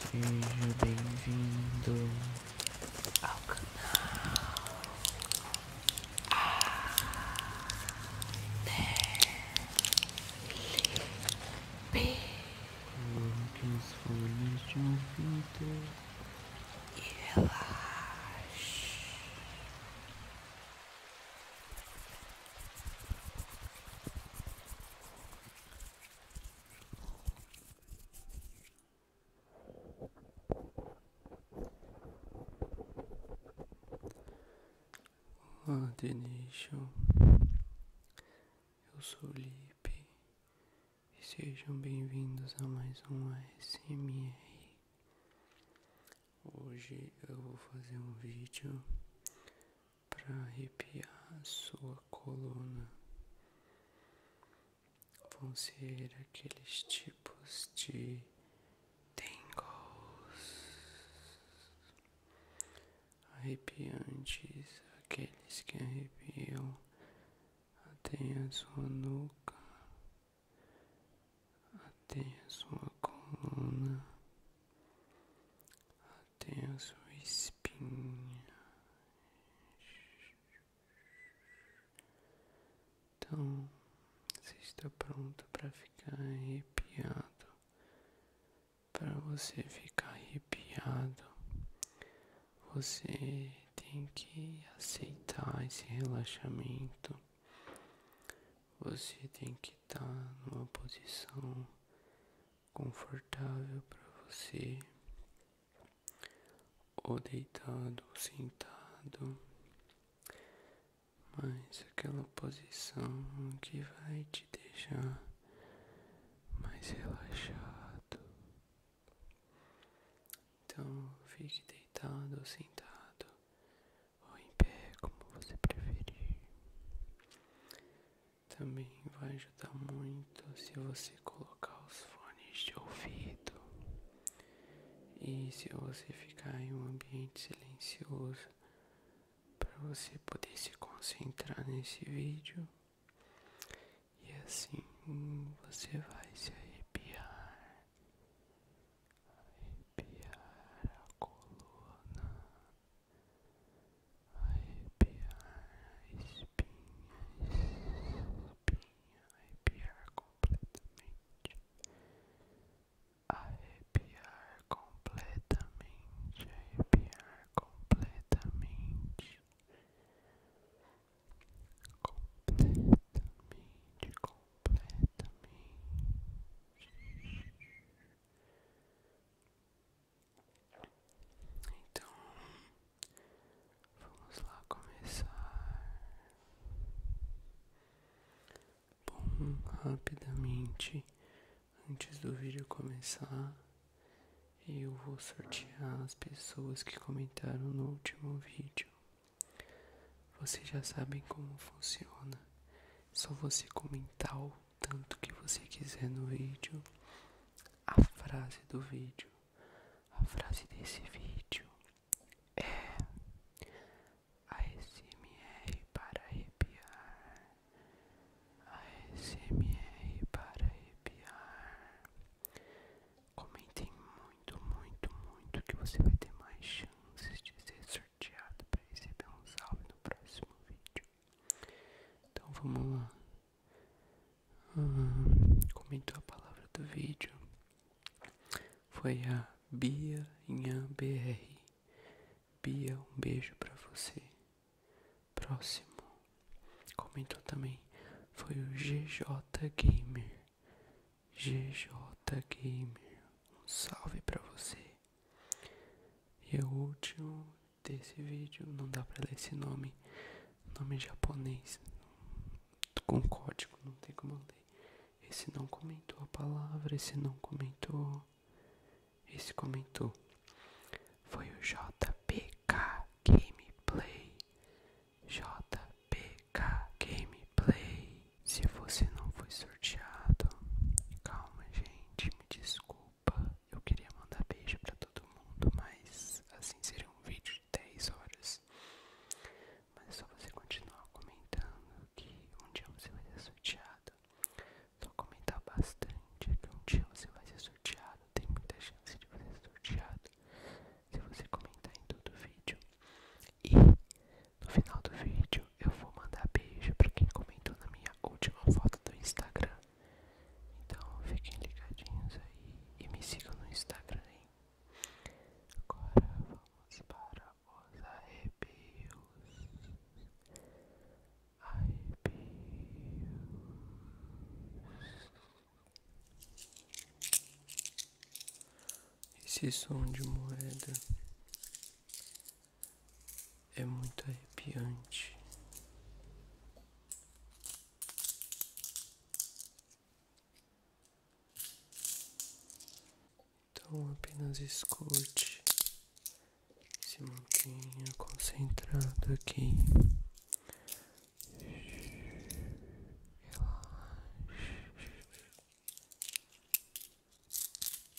Seja bem-vindo ao canal A ADP. Coloque os fones de ouvido e relaxe. Olá, Denation. Eu sou o Lipe e sejam bem-vindos a mais um ASMR. Hoje eu vou fazer um vídeo para arrepiar sua coluna. Vão ser aqueles tipos de tingles arrepiantes, aqueles que arrepiam até a sua nuca, até a sua coluna tenso espinha então você está pronto para ficar arrepiado para você ficar arrepiado você tem que aceitar esse relaxamento você tem que estar tá numa posição confortável para você, ou deitado ou sentado, mas aquela posição que vai te deixar mais relaxado. Então fique deitado ou sentado, ou em pé, como você preferir. Também vai ajudar muito se você colocar os fones de ouvido e se você ficar em um ambiente silencioso para você poder se concentrar nesse vídeo e assim você vai se arrepiar, arrepiar a coluna arrepiar espinha, espinha, arrepiar completamente, arrepiar completamente, arrepiar completamente. Completamente, completamente. Então, vamos lá começar. Bom, rapidamente, antes do vídeo começar, eu vou sortear as pessoas que comentaram no último vídeo. Vocês já sabem como funciona. É só você comentar tanto que você quiser no vídeo, a frase do vídeo, a frase desse vídeo é a ASMR para arrepiar, ASMR para arrepiar. Comentem muito, muito, muito que você vai ter mais chances de ser sorteado para receber um salve no próximo vídeo. Então vamos lá. Ah, comentou a palavra do vídeo. Foi a Bia Inha BR. Bia, um beijo pra você. Próximo. Comentou também. Foi o GJ Gamer. GJ Gamer. Um salve pra você. E o último desse vídeo. Não dá pra ler esse nome, nome japonês, com código, não tem como ler. Esse não comentou a palavra, esse não comentou, esse comentou. Foi o JPK Gameplay. JPK Gameplay. Se você não foi sorteado, calma, gente, me desculpa. Eu queria mandar beijo pra todo mundo, mas assim seria um vídeo de 10 horas. Mas é só você continuar comentando que um dia você vai ser sorteado. Só comentar bastante que um dia você vai ser sorteado. Tem muita chance de você ser sorteado se você comentar em todo o vídeo. E no final do vídeo eu vou vou mandar beijo para quem comentou na minha última foto do Instagram. Então fiquem ligadinhos aí e me sigam no Instagram, Agora vamos para os arrepios. Arrepios. Esse som de moeda é muito arrepiante. Então apenas escute, se mantenha concentrado aqui.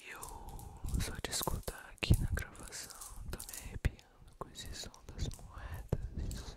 E eu só de escutar aqui na gravação tô me arrepiando com esses som das moedas.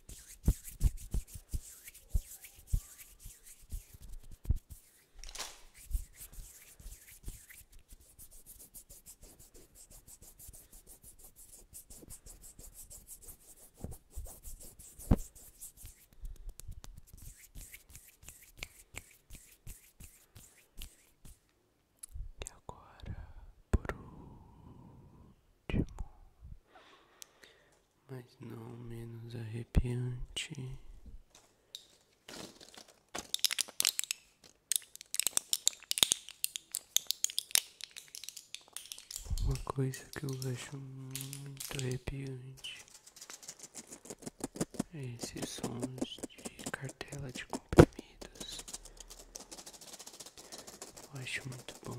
E agora, por último, mas não menos arrepiante. Uma coisa que eu acho muito arrepiante é esses sons de cartela de comprimidos. Eu acho muito bom.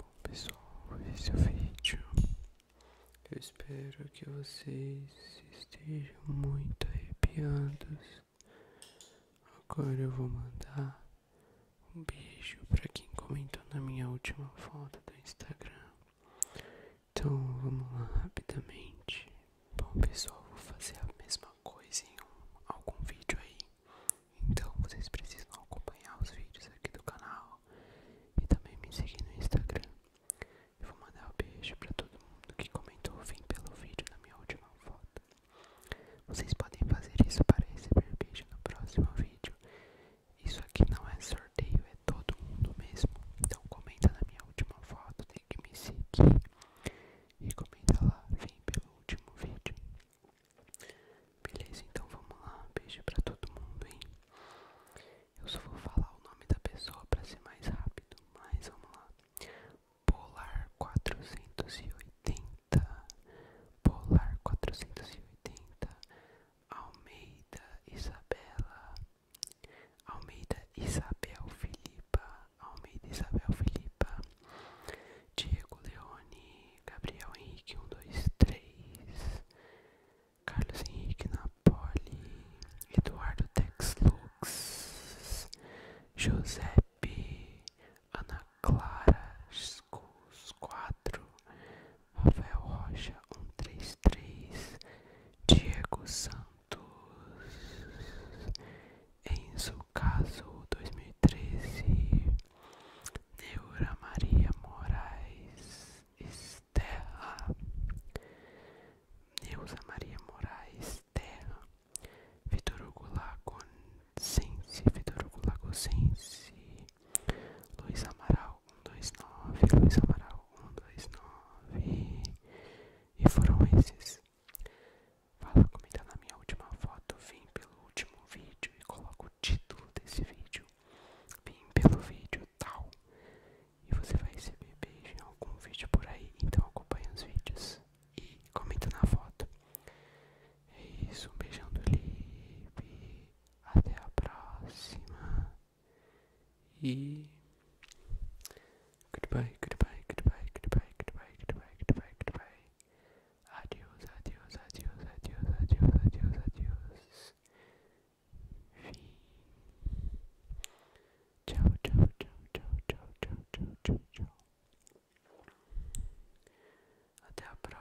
Bom pessoal, esse é o vídeo. Eu espero que vocês estejam muito arrepiados Agora eu vou mandar um beijo para quem comentou na minha última foto do Instagram. Então vamos lá rapidamente. Bom pessoal, vou fazer a mesma coisa em algum vídeo aí. Então vocês precisam acompanhar os vídeos aqui do canal e também me seguir no Instagram. Eu vou mandar um beijo para todo mundo que comentou vem pelo vídeo na minha última foto. Vocês podem fazer isso para receber beijo no próximo vídeo. Isso aqui não é sorteio, é todo mundo mesmo. Então comenta na minha última foto, tem que me seguir. E comenta lá, vem pelo último vídeo. Beleza, então vamos lá. Beijo pra todo mundo, hein? Eu só vou falar o nome da pessoa pra ser mais rápido, mas vamos lá. Polar 480, Polar 480, Almeida Isabela, Almeida Isabel Filipa, Almeida Isabel Filipa, Diego Leone, Gabriel Henrique 123, Carlos Henrique Napoli, Eduardo Tex Lux, Giuseppe Ana Clara Schools 4, Rafael Rocha 133, Diego Santos, Enzo Caso 2013, Neura Maria Moraes Estela, Neusa Maria Moraes Terra, Vitor Hugo Lagosense, Vitor Hugo Lagosense, Luiz Amaral 129, Luiz Amaral 129, e foram esses. Fala, comenta na minha última foto, vim pelo último vídeo e coloco o título desse vídeo. Vim pelo vídeo tal. E você vai receber beijo em algum vídeo por aí, então acompanhe os vídeos e comenta na foto. É isso, um beijão do Lipe. Até a próxima. E. Goodbye, goodbye, goodbye, goodbye, goodbye, goodbye, goodbye, goodbye. Adios, adios, adios, adios, adios, adios, adios. Fim. Tchau, tchau, tchau, tchau, tchau, tchau, tchau, tchau, tchau. Até a próxima.